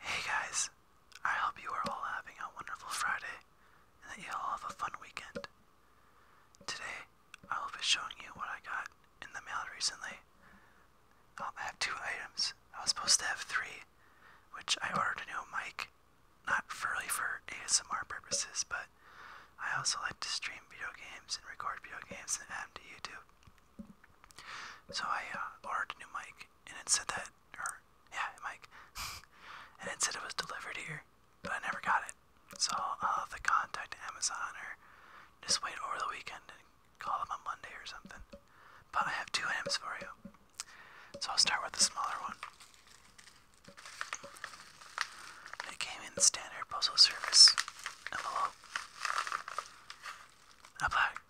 Hey guys, I hope you are all having a wonderful Friday and that you all have a fun weekend. Today, I will be showing you what I got in the mail recently. Um, I have two items. I was supposed to have three, which I ordered a new mic, not really for ASMR purposes, but I also like to stream video games and record video games and add them to YouTube. So I uh, ordered a new mic, and it said that, or yeah, mic, and it said it was delivered here, but I never got it. So I'll have to contact Amazon or just wait over the weekend and call them on Monday or something. But I have two amps for you, so I'll start with the smaller one. It came in standard postal service envelope. I black,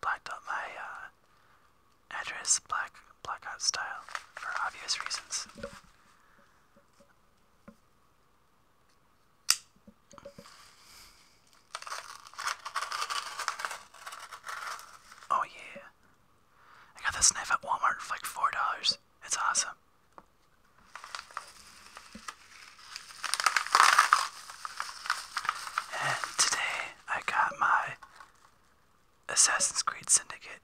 blacked out my uh, address black blackout style for obvious reasons. Oh yeah. I got this knife at Walmart for like four dollars. It's awesome. And today I got my Assassin's Creed Syndicate.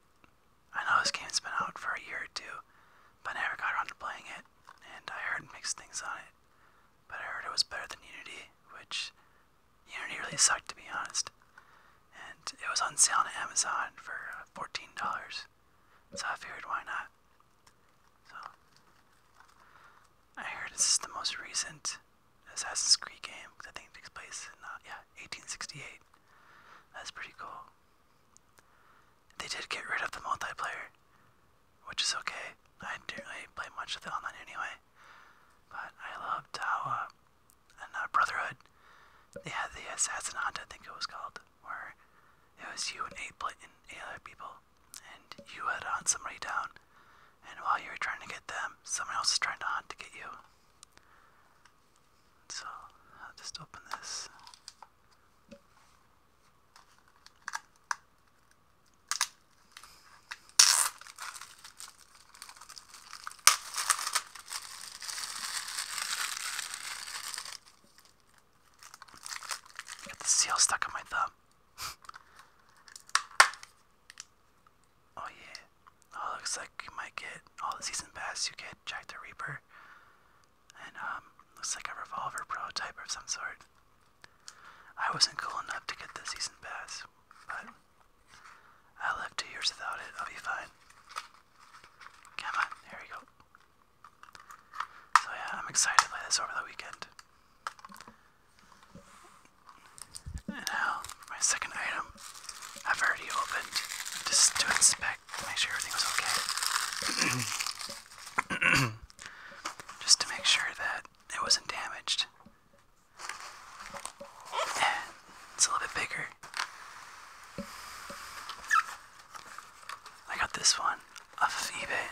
I know this game's been out for a year or two, but I never got around to playing it, and I heard mixed things on it. But I heard it was better than Unity, which Unity really sucked to be honest. And it was on sale on Amazon for $14, so I figured why not. So, I heard this is the most recent Assassin's Creed game because I think it takes place in, uh, yeah, 1868. That's pretty cool. They did get rid of the multiplayer, which is okay. I didn't really play much of the online anyway, but I loved how, uh, uh, Brotherhood, they had the Assassin Hunt, I think it was called, it was you and eight and eight other people, and you had on somebody down. And while you were trying to get them, someone else was trying to hunt to get you. So I'll just open this. Got the seal stuck on my thumb. oh yeah. Oh, looks like you might get all the season pass. You get Jack the Reaper, and um, looks like a revolver prototype of some sort. I wasn't cool enough to get the season pass, but I will live two years without it. I'll be fine. Come on, here we go. So yeah, I'm excited to this over the weekend. And now, my second item, I've already opened just to inspect, make sure everything okay. just to make sure that it wasn't damaged. And it's a little bit bigger I got this one off of eBay.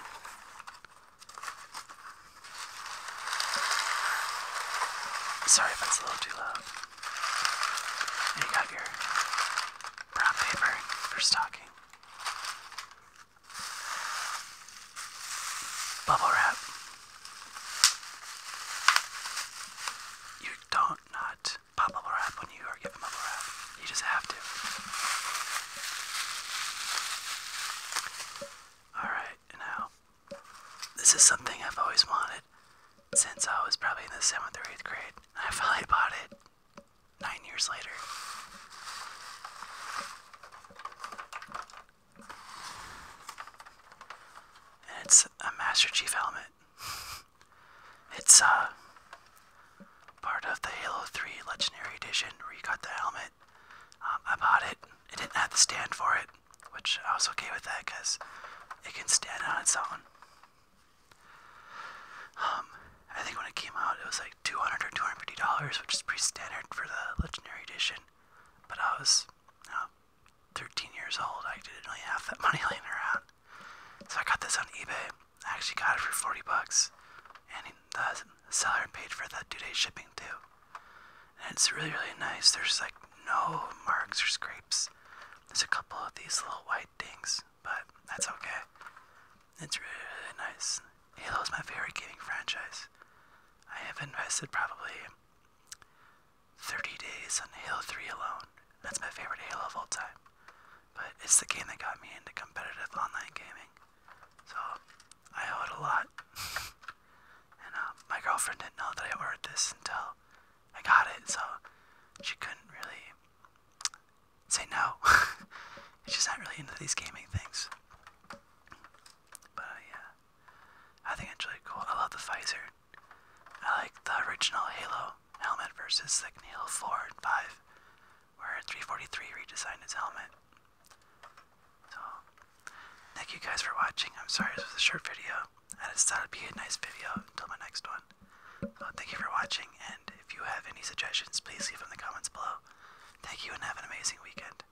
Sorry if it's a little too loud. you got your brown paper for stocking. Bubble wrap. You don't not just pop bubble wrap on you or give bubble wrap. You just have to. Alright, now, this is something I've always wanted since I was probably in the 7th or 8th grade. I finally bought it 9 years later. And it's a Master Chief helmet. It's uh part of the Halo 3 Legendary Edition where you got the helmet. Um, I bought it. It didn't have the stand for it, which I was okay with that because it can stand on its own. Um, I think when it came out, it was like 200 or 250 dollars, which is pretty standard for the Legendary Edition. But I was, you uh, 13 years old, I didn't really have that money laying around. So I got this on eBay. I actually got it for 40 bucks. And the seller paid for the two day shipping too. And it's really, really nice. There's like no marks or scrapes. There's a couple of these little white dings, but that's okay. It's really, really nice. Halo is my favorite gaming franchise. I have invested probably 30 Days on Halo 3 alone. That's my favorite Halo of all time. But it's the game that got me into competitive online gaming. So I owe it a lot. and uh, my girlfriend didn't know that I ordered this until I got it, so she couldn't really say no. She's not really into these gaming things. But uh, yeah. I think it's really cool. I love the visor. I like the original Halo helmet versus like Halo 4 and 5, where 343 redesigned his helmet. So, thank you guys for watching. I'm sorry this was a short video. I just thought it'd be a nice video until my next one. thank you for watching, and if you have any suggestions, please leave them in the comments below. Thank you and have an amazing weekend.